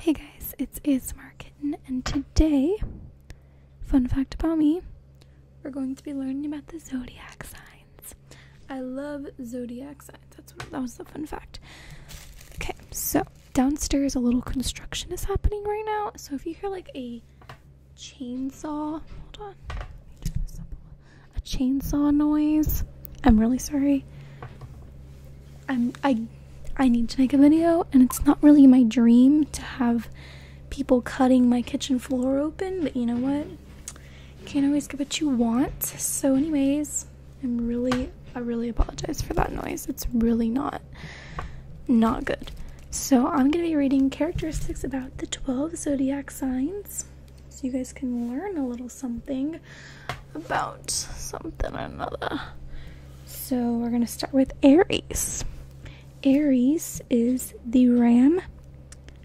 Hey guys, it's ASMR Kitten, and today, fun fact about me, we're going to be learning about the zodiac signs. I love zodiac signs. That's what, that was the fun fact. Okay, so downstairs, a little construction is happening right now. So if you hear like a chainsaw, hold on, a chainsaw noise. I'm really sorry i I need to make a video and it's not really my dream to have people cutting my kitchen floor open, but you know what? You can't always get what you want. So anyways, I'm really I really apologize for that noise. It's really not not good. So I'm going to be reading characteristics about the 12 zodiac signs so you guys can learn a little something about something or another. So we're going to start with Aries. Aries is the ram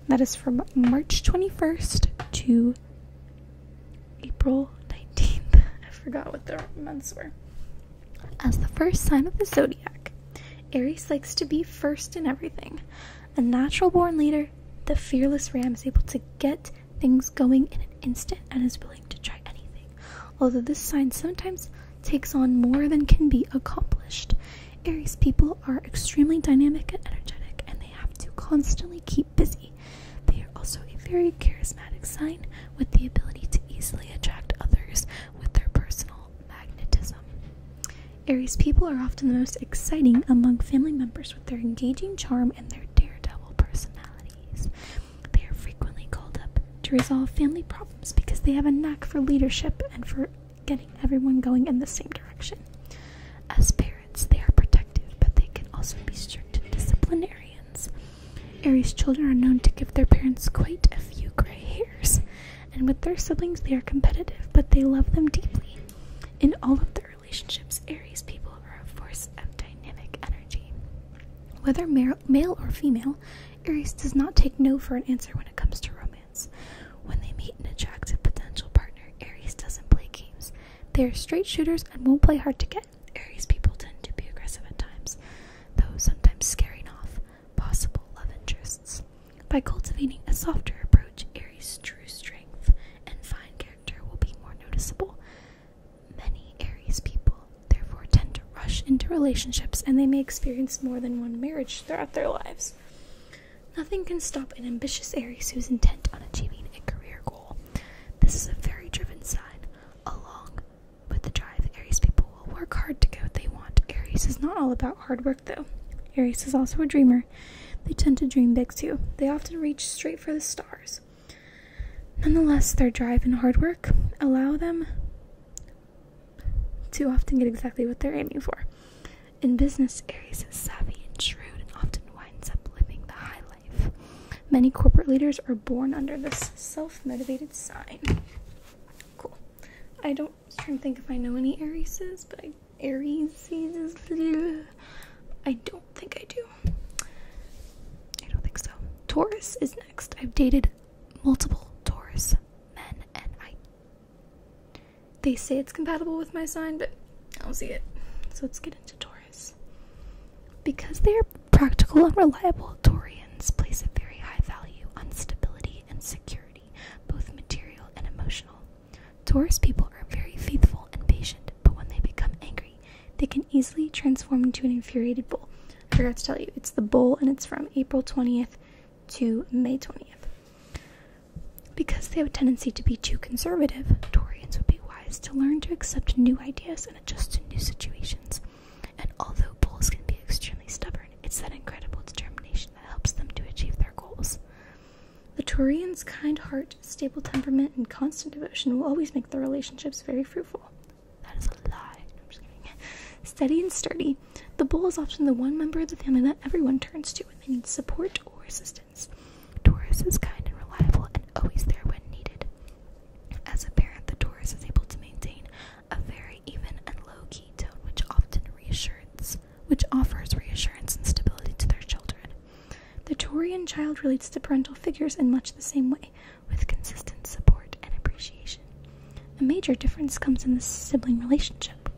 that is from March 21st to April 19th. I forgot what the months were. As the first sign of the zodiac, Aries likes to be first in everything. A natural born leader, the fearless ram is able to get things going in an instant and is willing to try anything. Although this sign sometimes takes on more than can be accomplished, Aries people are extremely dynamic and energetic, and they have to constantly keep busy. They are also a very charismatic sign with the ability to easily attract others with their personal magnetism. Aries people are often the most exciting among family members with their engaging charm and their daredevil personalities. They are frequently called up to resolve family problems because they have a knack for leadership and for getting everyone going in the same direction. As parents, they are protective, but they can also be strict disciplinarians. Aries children are known to give their parents quite a few gray hairs, and with their siblings, they are competitive, but they love them deeply. In all of their relationships, Aries people are a force of dynamic energy. Whether male or female, Aries does not take no for an answer when it comes to romance. When they meet an attractive potential partner, Aries doesn't play games. They are straight shooters and won't play hard to get. Aries people tend to be aggressive at times, though sometimes scaring off possible love interests. By cultivating a softer approach, Aries' true strength and fine character will be more noticeable. Many Aries people therefore tend to rush into relationships and they may experience more than one marriage throughout their lives. Nothing can stop an ambitious Aries who's intent on achieving a career goal. This is a very driven sign. Along with the drive, Aries people will work hard to get what they want. Aries is not all about hard work though. Aries is also a dreamer. They tend to dream big too. They often reach straight for the stars. Nonetheless, their drive and hard work allow them to often get exactly what they're aiming for. In business, Aries is savvy and shrewd and often winds up living the high life. Many corporate leaders are born under this self motivated sign. Cool. I don't I'm trying to think if I know any Arieses, but I Aries I don't do think I do. I don't think so. Taurus is next. I've dated multiple Taurus men, and I. They say it's compatible with my sign, but I don't see it. So let's get into Taurus. Because they are practical and reliable, Taurians place a very high value on stability and security, both material and emotional. Taurus people are very faithful and patient, but when they become angry, they can easily transform into an infuriated bull. I forgot to tell you, it's the bull and it's from April 20th to May 20th. Because they have a tendency to be too conservative, Taurians would be wise to learn to accept new ideas and adjust to new situations. And although bulls can be extremely stubborn, it's that incredible determination that helps them to achieve their goals. The Taurian's kind heart, stable temperament, and constant devotion will always make their relationships very fruitful. That is a lie. Steady and sturdy. The bull is often the one member of the family that everyone turns to when they need support or assistance. Taurus is kind and reliable and always there when needed. As a parent, the Taurus is able to maintain a very even and low-key tone, which often reassures, which offers reassurance and stability to their children. The Taurian child relates to parental figures in much the same way with consistent support and appreciation. A major difference comes in the sibling relationship,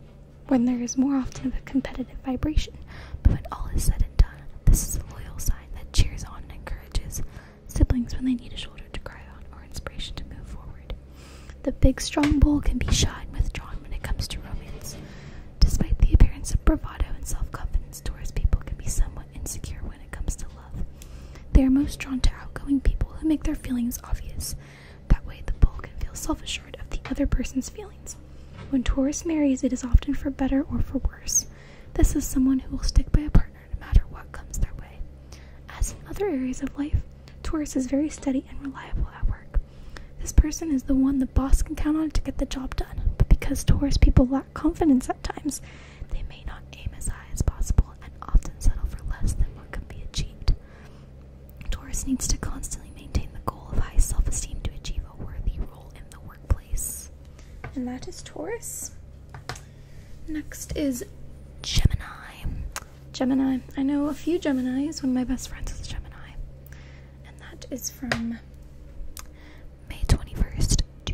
when there is more often of a competitive vibration, but when all is said and done, this is a loyal sign that cheers on and encourages siblings when they need a shoulder to cry on or inspiration to move forward. The big strong bull can be shy and withdrawn when it comes to romance. Despite the appearance of bravado and self confidence, Taurus people can be somewhat insecure when it comes to love. They are most drawn to outgoing people who make their feelings obvious. That way, the bull can feel self assured of the other person's feelings. When Taurus marries, it is often for better or for worse. This is someone who will stick by a partner no matter what comes their way. As in other areas of life, Taurus is very steady and reliable at work. This person is the one the boss can count on to get the job done, but because Taurus people lack confidence at times. They may not aim as high as possible and often settle for less than what can be achieved. Taurus needs to constantly maintain the goal of high self esteem to achieve a worthy role in the workplace. And that is Taurus. Next is Gemini. Gemini. I know a few Geminis. One of my best friends is Gemini. And that is from May 21st to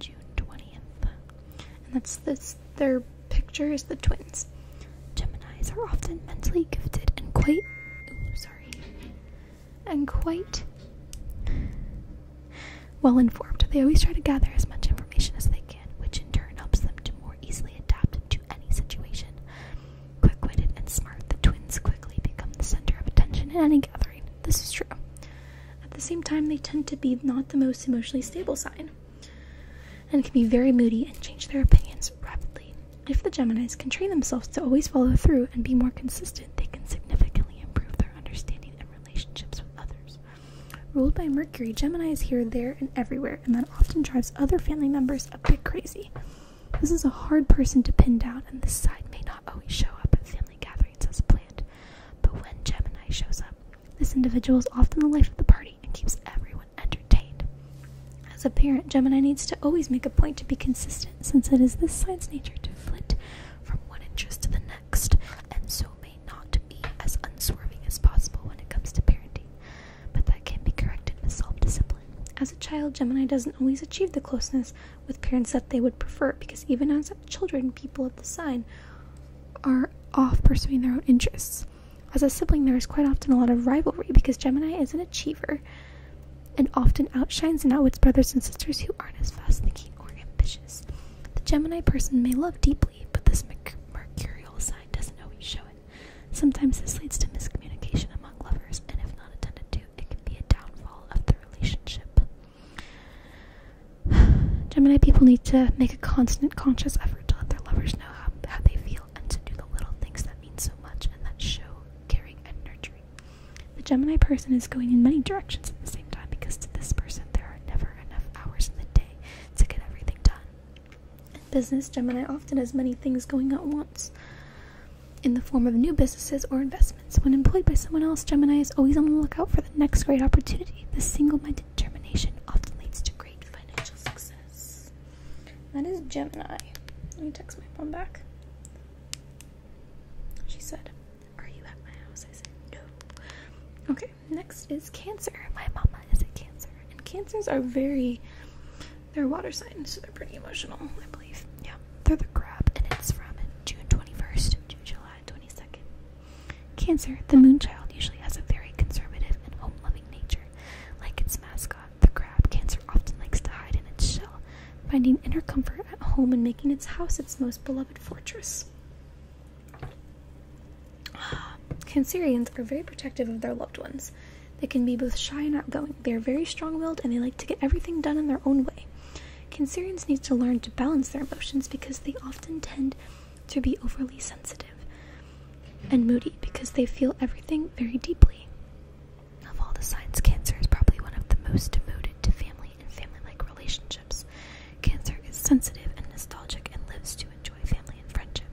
June 20th. And that's this, their picture is the twins. Geminis are often mentally gifted and quite, sorry, and quite well informed. They always try to gather as much information as they can, which in turn helps them to more easily adapt to any situation. Quick witted and smart, the twins quickly become the center of attention in any gathering, this is true. At the same time, they tend to be not the most emotionally stable sign and can be very moody and change their opinions rapidly. If the Geminis can train themselves to always follow through and be more consistent, they can significantly improve their understanding and relationships with others. Ruled by Mercury, Gemini is here, there, and everywhere, and that often drives other family members a bit crazy. This is a hard person to pin down, and this side may not always show up at family gatherings as planned. But when Gemini shows up, this individual is often the life of the party and keeps everyone entertained. As a parent, Gemini needs to always make a point to be consistent since it is this sign's nature to flit from one interest to the next and so may not be as unswerving as possible when it comes to parenting. But that can be corrected with self discipline. As a child, Gemini doesn't always achieve the closeness with parents that they would prefer because even as children, people of the sign are off pursuing their own interests. As a sibling, there is quite often a lot of rivalry because Gemini is an achiever and often outshines and outwits brothers and sisters who aren't as fast thinking or ambitious. The Gemini person may love deeply, but this mercurial side doesn't always show it. Sometimes this leads to miscommunication among lovers, and if not attended to, it can be a downfall of the relationship. Gemini people need to make a constant conscious effort to let their lovers know how, they feel and to do the little things that mean so much and that show caring and nurturing. The Gemini person is going in many directions at the same time because to this person there are never enough hours in the day to get everything done. In business, Gemini often has many things going at once in the form of new businesses or investments. When employed by someone else, Gemini is always on the lookout for them next great opportunity. The single-minded determination often leads to great financial success. That is Gemini. Let me text my mom back. She said, Are you at my house? I said, No. Okay, next is Cancer. My mama is a Cancer. And Cancers are very, they're water signs, so they're pretty emotional, I believe. Yeah, they're the crab, and it's from June 21st to July 22nd. Cancer, the moonchild, usually has a very conservative and home-loving nature. Like its mascot, the crab, Cancer often likes to hide in its shell, finding inner comfort at home and making its house its most beloved fortress. Cancerians are very protective of their loved ones. They can be both shy and outgoing. They are very strong-willed and they like to get everything done in their own way. Cancerians need to learn to balance their emotions because they often tend to be overly sensitive and moody because they feel everything very deeply. Of all the signs, Cancer is probably one of the most devoted to family and family like relationships. Cancer is sensitive and nostalgic and lives to enjoy family and friendship.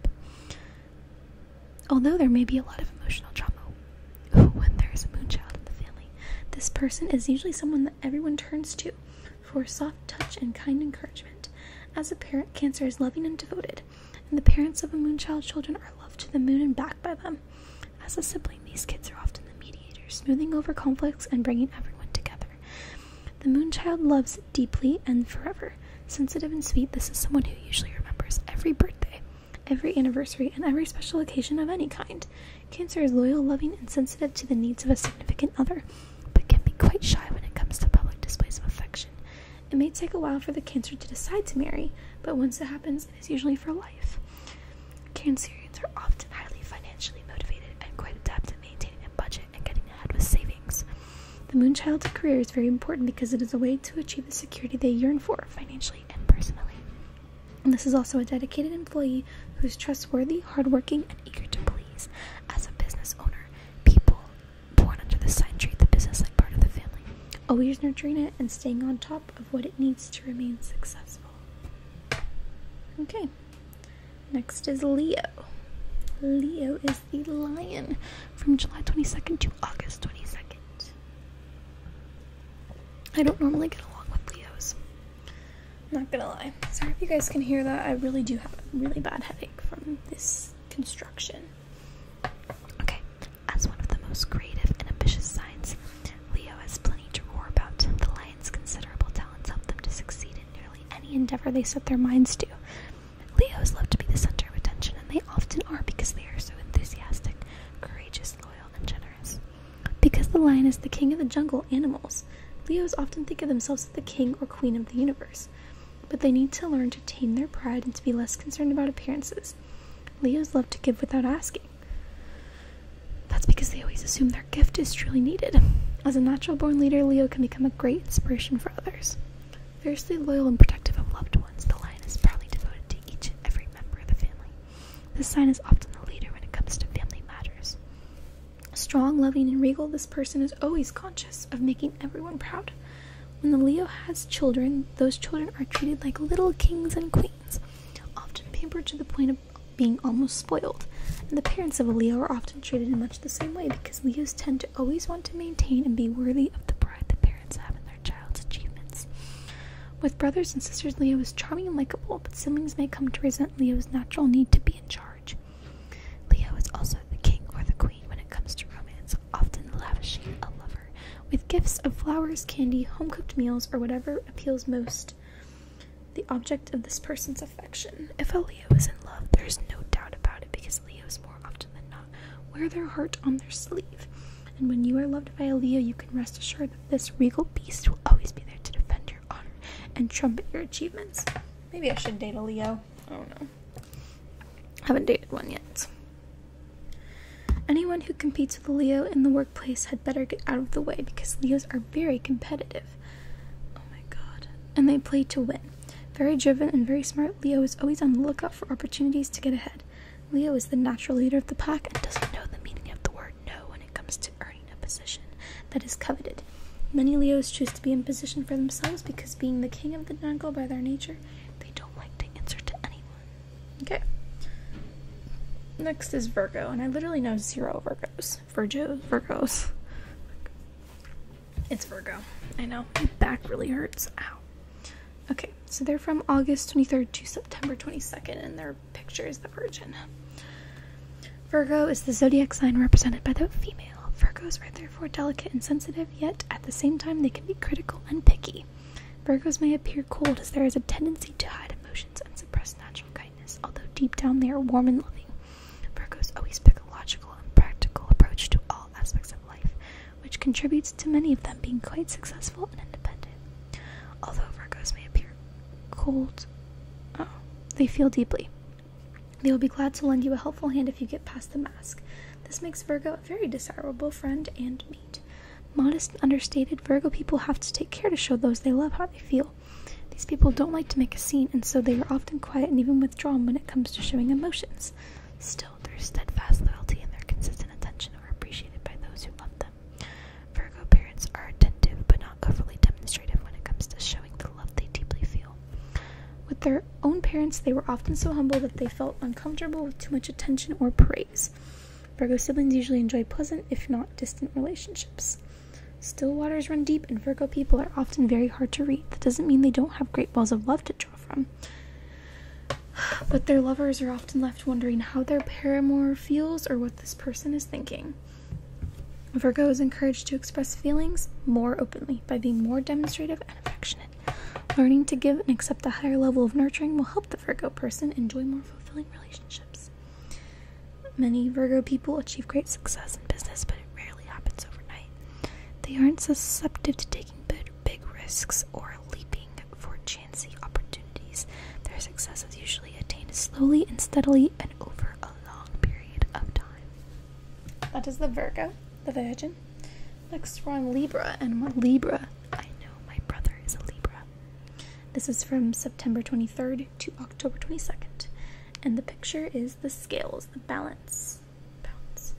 Although there may be a lot of emotional trauma when there is a moonchild in the family, this person is usually someone that everyone turns to for soft touch and kind encouragement. As a parent, Cancer is loving and devoted, and the parents of a moonchild children are loved to the moon and back by them. As a sibling, these kids are often the mediators, smoothing over conflicts and bringing everyone together. The moonchild loves deeply and forever. Sensitive and sweet, this is someone who usually remembers every birthday, every anniversary, and every special occasion of any kind. Cancer is loyal, loving, and sensitive to the needs of a significant other but can be quite shy when it comes to public displays of affection. It may take a while for the Cancer to decide to marry, but once it happens, it is usually for life. Cancerians are often highly financially motivated and quite adept at maintaining a budget and getting ahead with savings. The Moonchild's career is very important because it is a way to achieve the security they yearn for financially and personally. And this is also a dedicated employee who is trustworthy, hardworking, eager to please. As a business owner, people born under the sign treat the business like part of the family, always nurturing it and staying on top of what it needs to remain successful. Okay, next is Leo. Leo is the lion from July 22nd to August 22nd. I don't normally get along with Leos. I'm not gonna lie. Sorry if you guys can hear that. I really do have a really bad headache from this construction. Okay, as one of the most creative and ambitious signs, Leo has plenty to roar about. The lion's considerable talents help them to succeed in nearly any endeavor they set their minds to. Leos love to be the center of attention, and they often are because they are so enthusiastic, courageous, loyal, and generous. Because the lion is the king of the jungle animals, Leos often think of themselves as the king or queen of the universe, but they need to learn to tame their pride and to be less concerned about appearances. Leos love to give without asking. That's because they always assume their gift is truly needed. As a natural born leader, Leo can become a great inspiration for others. Fiercely loyal and protective of loved ones, the lion is proudly devoted to each and every member of the family. This sign is often the leader when it comes to family matters. Strong, loving, and regal, this person is always conscious of making everyone proud. When the Leo has children, those children are treated like little kings and queens, often pampered to the point of being almost spoiled. And the parents of a Leo are often treated in much the same way because Leos tend to always want to maintain and be worthy of the pride the parents have in their child's achievements. With brothers and sisters, Leo is charming and likable, but siblings may come to resent Leo's natural need to be in charge. Leo is also the king or the queen when it comes to romance, often lavishing a lover with gifts of flowers, candy, home cooked meals, or whatever appeals most the object of this person's affection. If a Leo is in love, there is no doubt about it because Leos more often than not wear their heart on their sleeve. And when you are loved by a Leo, you can rest assured that this regal beast will always be there to defend you and trumpet your achievements. Maybe I should date a Leo. Oh no, haven't dated one yet. Anyone who competes with Leo in the workplace had better get out of the way because Leos are very competitive. Oh my god. And they play to win. Very driven and very smart, Leo is always on the lookout for opportunities to get ahead. Leo is the natural leader of the pack and doesn't know the meaning of the word no when it comes to earning a position that is coveted. Many Leos choose to be in position for themselves because, being the king of the jungle by their nature, they don't like to answer to anyone. Okay. Next is Virgo, and I literally know zero Virgos. Virgos, Virgos. It's Virgo. I know. My back really hurts. Ow. Okay, so they're from August 23rd to September 22nd, and their picture is the Virgin. Virgo is the zodiac sign represented by the female. Virgos are therefore delicate and sensitive, yet at the same time they can be critical and picky. Virgos may appear cold as there is a tendency to hide emotions and suppress natural kindness, although deep down they are warm and loving. Virgos always take a logical and practical approach to all aspects of life, which contributes to many of them being quite successful and independent. Although Virgos may appear cold, oh, they feel deeply. They will be glad to lend you a helpful hand if you get past the mask. This makes Virgo a very desirable friend and mate. Modest understated, Virgo people have to take care to show those they love how they feel. These people don't like to make a scene, and so they are often quiet and even withdrawn when it comes to showing emotions. Still, their steadfast loyalty and their consistent attention are appreciated by those who love them. Virgo parents are attentive but not overly demonstrative when it comes to showing the love they deeply feel. With their own parents, they were often so humble that they felt uncomfortable with too much attention or praise. Virgo siblings usually enjoy pleasant, if not distant, relationships. Still waters run deep, and Virgo people are often very hard to read. That doesn't mean they don't have great wells of love to draw from. But their lovers are often left wondering how their paramour feels or what this person is thinking. Virgo is encouraged to express feelings more openly by being more demonstrative and affectionate. Learning to give and accept a higher level of nurturing will help the Virgo person enjoy more fulfilling relationships. Many Virgo people achieve great success in business, but it rarely happens overnight. They aren't susceptible to taking big risks or leaping for chancy opportunities. Their success is usually attained slowly and steadily and over a long period of time. That is the Virgo, the Virgin. Next, we're on Libra, and what Libra? I know my brother is a Libra. This is from September 23rd to October 22nd, and the picture is the scales, the balance. Balance.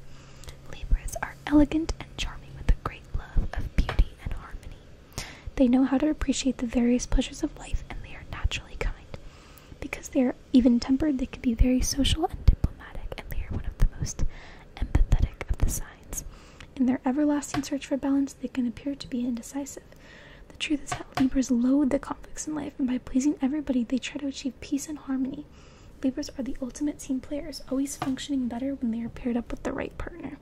Libras are elegant and charming with a great love of beauty and harmony. They know how to appreciate the various pleasures of life, and they are naturally kind because they are even tempered, they can be very social and diplomatic, and they are one of the most empathetic of the signs. In their everlasting search for balance, they can appear to be indecisive. The truth is that Libras loathe the conflicts in life, and by pleasing everybody, they try to achieve peace and harmony. Libras are the ultimate team players, always functioning better when they are paired up with the right partner.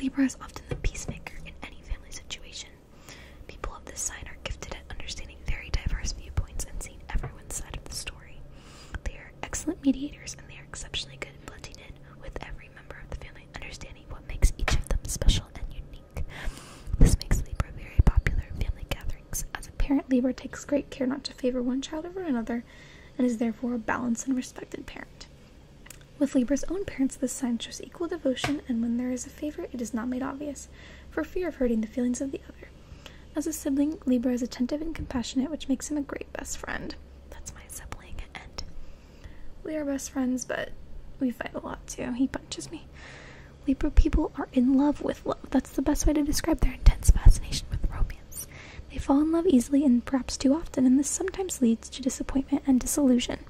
Libra is often the peacemaker in any family situation, People of this sign are gifted at understanding very diverse viewpoints and seeing everyone's side of the story. They are excellent mediators and they are exceptionally good at blending in with every member of the family, understanding what makes each of them special and unique. This makes Libra very popular in family gatherings, as a parent, Libra takes great care not to favor one child over another and is therefore a balanced and respected parent. With Libra's own parents, this sign shows equal devotion, and when there is a favor, it is not made obvious, for fear of hurting the feelings of the other. As a sibling, Libra is attentive and compassionate, which makes him a great best friend. That's my sibling, and we are best friends, but we fight a lot too. He punches me. Libra people are in love with love. That's the best way to describe their intense fascination with romance. They fall in love easily and perhaps too often, and this sometimes leads to disappointment and disillusion.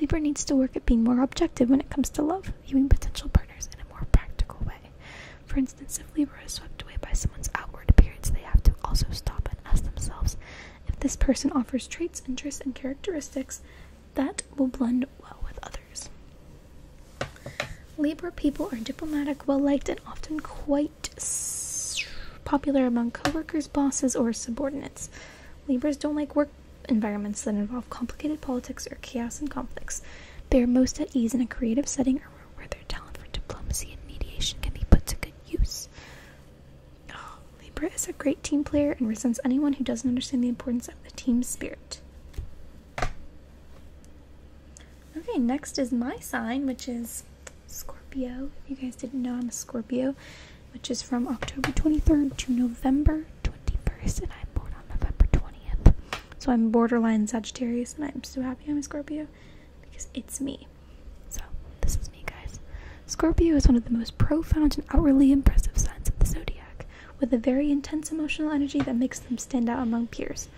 Libra needs to work at being more objective when it comes to love, viewing potential partners in a more practical way. For instance, if Libra is swept away by someone's outward appearance, they have to also stop and ask themselves if this person offers traits, interests, and characteristics that will blend well with others. Libra people are diplomatic, well liked, and often quite popular among coworkers, bosses, or subordinates. Libras don't like work environments that involve complicated politics or chaos and conflicts. They are most at ease in a creative setting or where their talent for diplomacy and mediation can be put to good use. Ah, Libra is a great team player and resents anyone who doesn't understand the importance of the team spirit. Okay, next is my sign, which is Scorpio. If you guys didn't know, I'm a Scorpio which is from October 23rd to November 21st, and I'm born on November 20th. So I'm borderline Sagittarius, and I'm so happy I'm a Scorpio because it's me. So this is me, guys. Scorpio is one of the most profound and outwardly impressive signs of the zodiac, with a very intense emotional energy that makes them stand out among peers.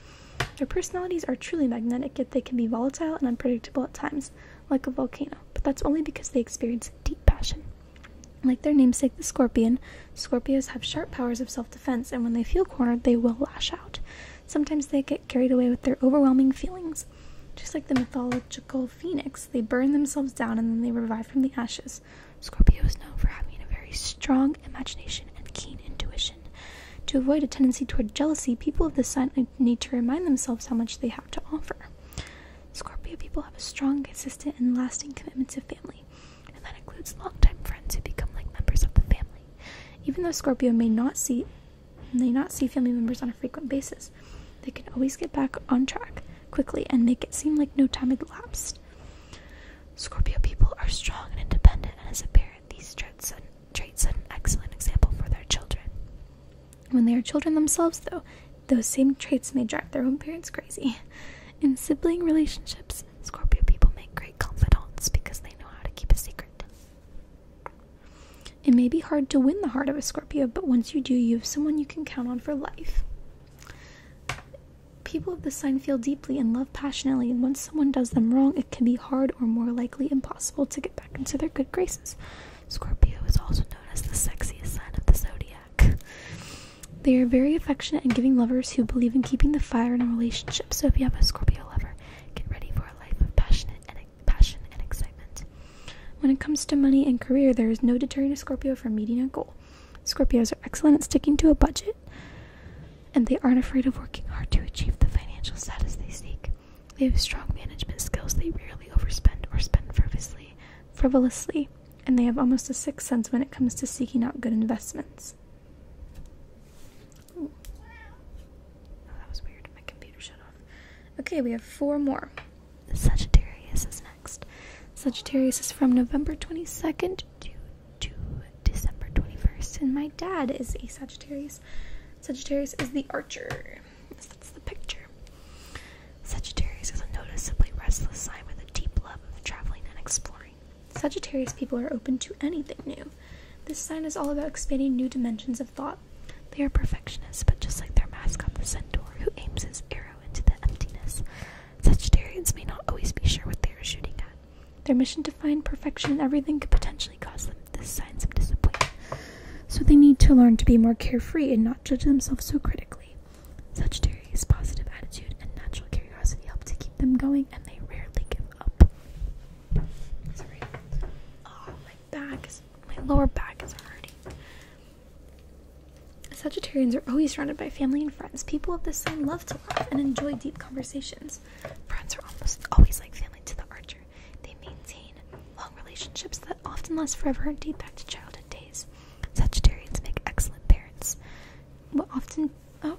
Their personalities are truly magnetic, yet they can be volatile and unpredictable at times, like a volcano, but that's only because they experience deep passion. Like their namesake, the scorpion, Scorpios have sharp powers of self defense, and when they feel cornered, they will lash out. Sometimes they get carried away with their overwhelming feelings. Just like the mythological phoenix, they burn themselves down and then they revive from the ashes. Scorpio is known for having a very strong imagination and keen intuition. To avoid a tendency toward jealousy, people of this sign need to remind themselves how much they have to offer. Scorpio people have a strong, consistent, and lasting commitment to family, and that includes longtime friends who become like members of the family. Even though Scorpio may not see may not see family members on a frequent basis, they can always get back on track quickly and make it seem like no time had elapsed. Scorpio people are strong and independent, and as a parent, these traits, are an excellent example for their children. When they are children themselves, though, those same traits may drive their own parents crazy. In sibling relationships, Scorpio people make great confidants because they know how to keep a secret. It may be hard to win the heart of a Scorpio, but once you do, you have someone you can count on for life. People of the sign feel deeply and love passionately, and once someone does them wrong, it can be hard or more likely impossible to get back into their good graces. Scorpio is also known as the sexiest sign of the zodiac. They are very affectionate and giving lovers who believe in keeping the fire in a relationship. So if you have a Scorpio lover, get ready for a life of passionate and passion and excitement. When it comes to money and career, there is no deterring a Scorpio from meeting a goal. Scorpios are excellent at sticking to a budget, and they aren't afraid of working hard to achieve the financial status they seek. They have strong management skills. They rarely overspend or spend frivolously. Frivolously, and they have almost a sixth sense when it comes to seeking out good investments. Oh, that was weird. My computer shut off. Okay, we have four more. Sagittarius is next. Sagittarius is from November 22nd to December 21st, and my dad is a Sagittarius. Sagittarius is the archer. Sagittarius, that's the picture. Sagittarius is a noticeably restless sign with a deep love of traveling and exploring. Sagittarius people are open to anything new. This sign is all about expanding new dimensions of thought. They are perfectionists, but just like their mascot, the centaur, who aims his arrow into the emptiness, Sagittarians may not always be sure what they are shooting at. Their mission to find perfection in everything could potentially cause them this signs of disappointment. So they need to learn to be more carefree and not judge themselves so critically. Such positive attitude, and natural curiosity help to keep them going, and they rarely give up. Sorry. Oh, my back my lower back is hurting. Sagittarians are always surrounded by family and friends. People of this sign love to laugh and enjoy deep conversations. Friends are almost always like family to the archer. They maintain long relationships that often last forever and date back to childhood days. Sagittarians make excellent parents. often oh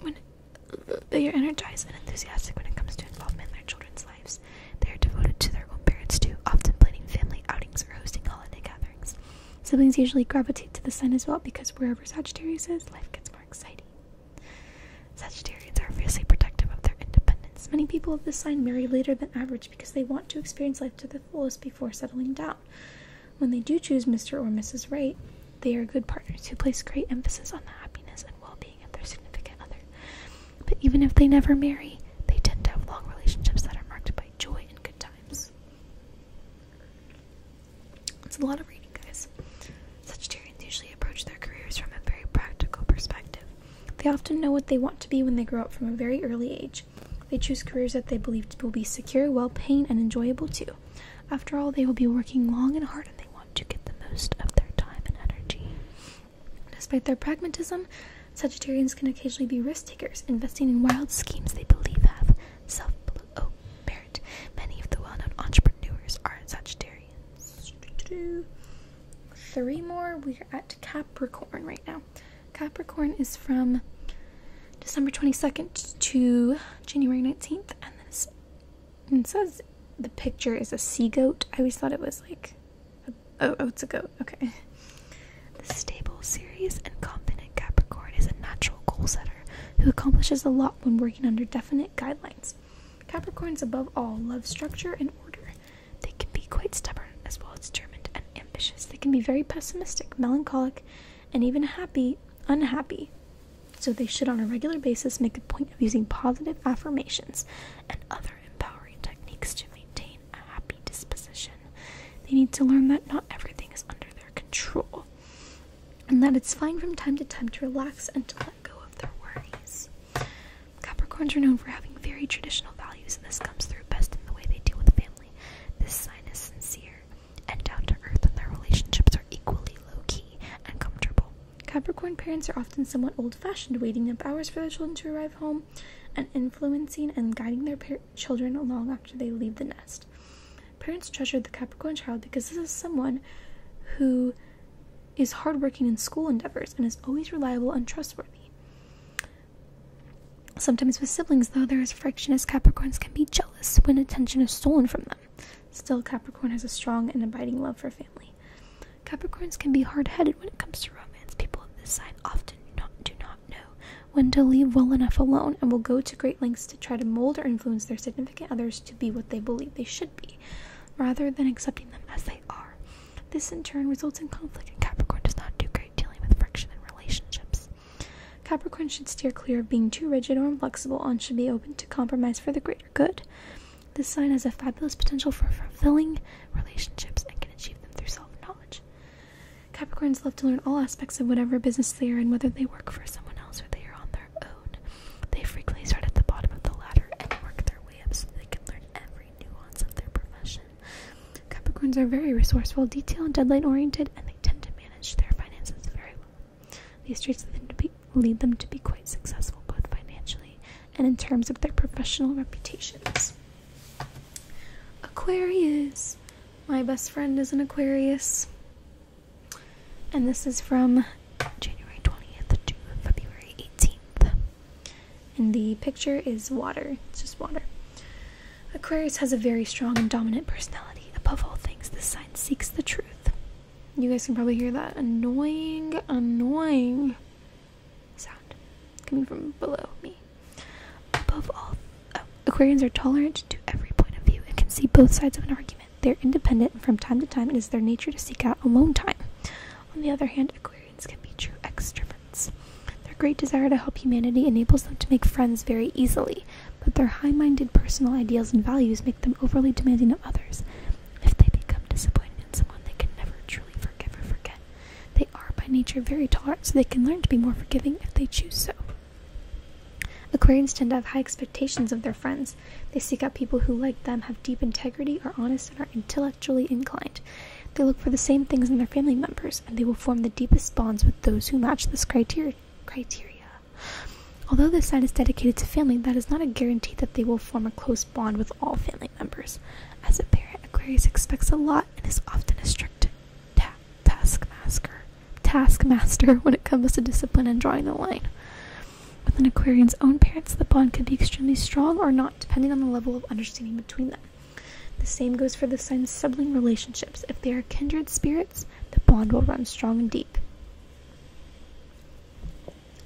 when they are energized and enthusiastic when it comes to involvement in their children's lives. They are devoted to their own parents too, often planning family outings or hosting holiday gatherings. Siblings usually gravitate to the sun as well because wherever Sagittarius is, life gets more exciting. Sagittarians are fiercely protective of their independence. Many people of this sign marry later than average because they want to experience life to the fullest before settling down. When they do choose Mr. or Mrs. Right, they are good partners who place great emphasis on the happiness and well being of their significant other. But even if they never marry, they tend to have long relationships that are marked by joy and good times. It's a lot of reading, guys. Sagittarians usually approach their careers from a very practical perspective. They often know what they want to be when they grow up from a very early age. They choose careers that they believe will be secure, well paying, and enjoyable too. After all, they will be working long and hard and they want to get the most of their time and energy. Despite their pragmatism, Sagittarians can occasionally be risk takers, investing in wild schemes they believe have self benefit Many of the well known entrepreneurs are Sagittarians. Three more. We're at Capricorn right now. Capricorn is from December 22nd to January 19th, and it says the picture is a sea goat. I always thought it was like, oh, oh, it's a goat. Okay. The stable, serious, and confident Capricorn is a natural goal setter who accomplishes a lot when working under definite guidelines. Capricorns, above all, love structure and order. They can be quite stubborn, as well as determined and ambitious. They can be very pessimistic, melancholic, and even happy, unhappy. So they should, on a regular basis, make a point of using positive affirmations and other empowering techniques to maintain a happy disposition. They need to learn that not everything is under their control, and that it's fine from time to time to relax and to let go of their worries. Capricorns are known for having very traditional values, and this comes through best in the way they deal with family this sign is sincere and down to earth, and their relationships are equally low key and comfortable. Capricorn parents are often somewhat old fashioned, waiting up hours for their children to arrive home and influencing and guiding their children along after they leave the nest. Parents treasure the Capricorn child because this is someone who is hardworking in school endeavors and is always reliable and trustworthy. Sometimes with siblings, though, there is friction as Capricorns can be jealous when attention is stolen from them. Still, Capricorn has a strong and abiding love for family. Capricorns can be hard headed when it comes to romance. People of this sign often do not know when to leave well enough alone and will go to great lengths to try to mold or influence their significant others to be what they believe they should be, rather than accepting them as they are. This in turn results in conflict, and Capricorn does not do great great dealing with friction relationships. Capricorn should steer clear of being too rigid or inflexible and should be open to compromise for the greater good. This sign has a fabulous potential for fulfilling relationships and can achieve them through self knowledge. Capricorns love to learn all aspects of whatever business they are in, whether they work for someone else or they are on their own. They frequently start at the bottom of the ladder and work their way up so they can learn every nuance of their profession. Capricorns are very resourceful, detail and deadline oriented, and they tend to manage their finances very well. These traits lead them to be quite successful, both financially and in terms of their professional reputations. Aquarius. My best friend is an Aquarius. And this is from January 20th to February 18th. And the picture is water. It's just water. Aquarius has a very strong and dominant personality. Above all things, this sign seeks the truth. You guys can probably hear that annoying, annoying sound coming from below me. Above all, oh, Aquarians are tolerant to every point of view It can see both sides of an argument. They're independent, and from time to time, it is their nature to seek out alone time. On the other hand, Aquarians can be true extroverts their great desire to help humanity enables them to make friends very easily, but their high minded personal ideals and values make them overly demanding of others. If they become disappointed in someone, they can never truly forgive or forget. They are by nature very tolerant, so they can learn to be more forgiving if they choose so. Aquarians tend to have high expectations of their friends. They seek out people who, like them, have deep integrity, are honest, and are intellectually inclined. They look for the same things in their family members, and they will form the deepest bonds with those who match this criteria. Although this sign is dedicated to family, that is not a guarantee that they will form a close bond with all family members. As a parent, Aquarius expects a lot and is often a strict taskmaster, taskmaster when it comes to discipline and drawing the line. With an Aquarian's own parents, the bond can be extremely strong or not, depending on the level of understanding between them. The same goes for the sun's sibling relationships. If they are kindred spirits, the bond will run strong and deep.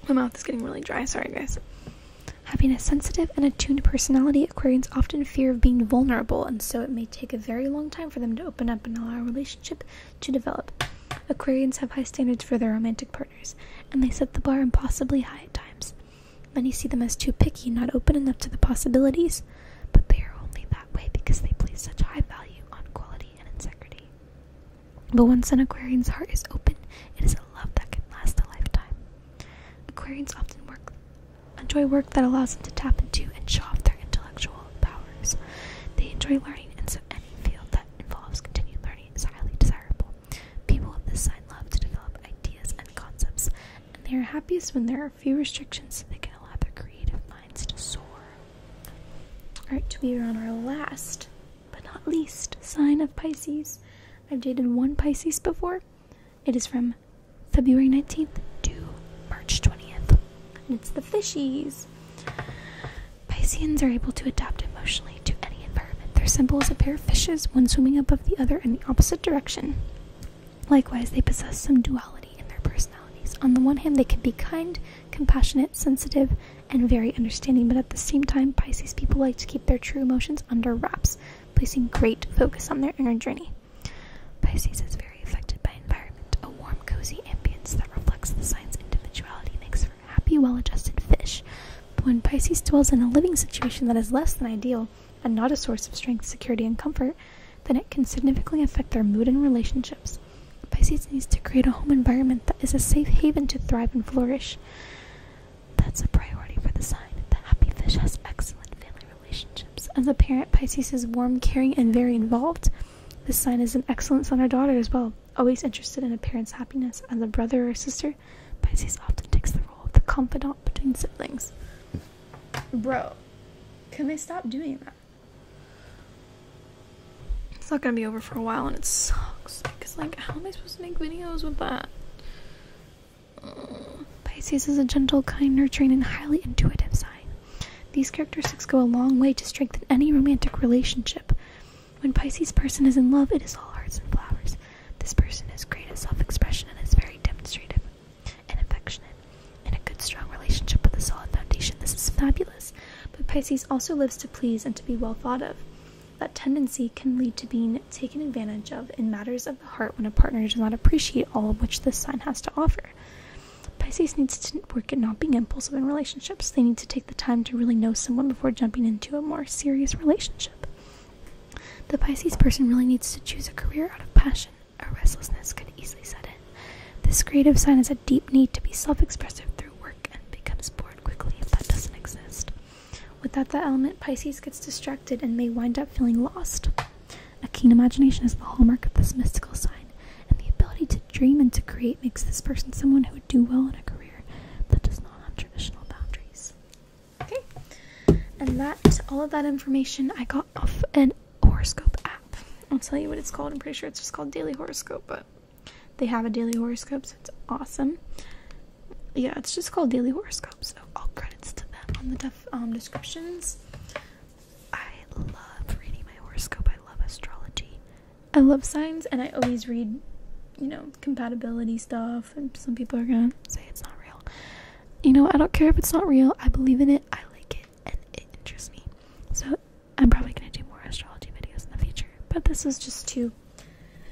My mouth is getting really dry, sorry guys. Having a sensitive and attuned personality, Aquarians often fear of being vulnerable, and so it may take a very long time for them to open up and allow a relationship to develop. Aquarians have high standards for their romantic partners, and they set the bar impossibly high at times. Many see them as too picky, not open enough to the possibilities, but they are only that way because they place such high value on quality and integrity. But once an Aquarian's heart is open, it is a love that can last a lifetime. Aquarians often work, enjoy work that allows them to tap into and show off their intellectual powers. They enjoy learning, and so any field that involves continued learning is highly desirable. People of this sign love to develop ideas and concepts, and they are happiest when they are few restrictions so can allow their creative minds to soar. Alright, we are on our last, but not least, sign of Pisces. I've dated one Pisces before. It is from February 19th to March 20th. And it's the fishies. Pisceans are able to adapt emotionally to any environment. Their symbol is a pair of fishes, one swimming above the other in the opposite direction. Likewise, they possess some duality in their personalities. On the one hand, they can be kind, compassionate, sensitive, and very understanding, but at the same time, Pisces people like to keep their true emotions under wraps, placing great focus on their inner journey. Pisces is very affected by environment. A warm, cozy ambience that reflects the sign's individuality makes for a happy, well adjusted fish. But when Pisces dwells in a living situation that is less than ideal, and not a source of strength, security, and comfort, then it can significantly affect their mood and relationships. Pisces needs to create a home environment that is a safe haven to thrive and flourish. That's a priority for the sign. The happy fish has excellent family relationships. As a parent, Pisces is warm, caring, and very involved. This sign is an excellent son or daughter as well, always interested in a parent's happiness. As a brother or sister, Pisces often takes the role of the confidant between siblings. Bro, can they stop doing that? It's not gonna be over for a while and it sucks. Because, like, how am I supposed to make videos with that? Mm. Pisces is a gentle, kind, nurturing, and highly intuitive sign. These characteristics go a long way to strengthen any romantic relationship. When Pisces person is in love, it is all hearts and flowers. This person is great at self-expression and is very demonstrative and affectionate, and a good strong relationship with a solid foundation. This is fabulous, but Pisces also lives to please and to be well thought of. That tendency can lead to being taken advantage of in matters of the heart when a partner does not appreciate all of which this sign has to offer. Pisces needs to work at not being impulsive in relationships. They need to take the time to really know someone before jumping into a more serious relationship. The Pisces person really needs to choose a career out of passion a restlessness could easily set in. This creative sign has a deep need to be self expressive through work and becomes bored quickly if that doesn't exist. Without that element, Pisces gets distracted and may wind up feeling lost. A keen imagination is the hallmark of this mystical sign, and the ability to dream and to create makes this person someone who would do well in a career that does not have traditional boundaries. Okay, and that all of that information I got off an horoscope app. I'll tell you what it's called. I'm pretty sure it's just called Daily Horoscope, but they have a daily horoscope, so it's awesome. Yeah, it's just called Daily Horoscope, so all credits to them on the def um, descriptions. I love reading my horoscope. I love astrology. I love signs, and I always read, you know, compatibility stuff. And some people are gonna say it's not real. You know, I don't care if it's not real. I believe in it. I like it and it interests me. So I'm probably gonna do more astrology videos in the future. But this was just to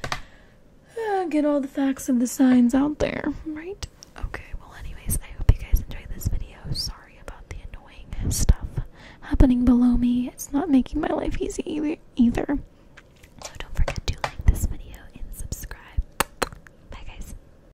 uh, get all the facts of the signs out there, right? Okay, well, anyways, I hope you guys enjoyed this video. Sorry about the annoying stuff happening below me. It's not making my life easy either. either. don't forget to like this video and subscribe. Bye, guys.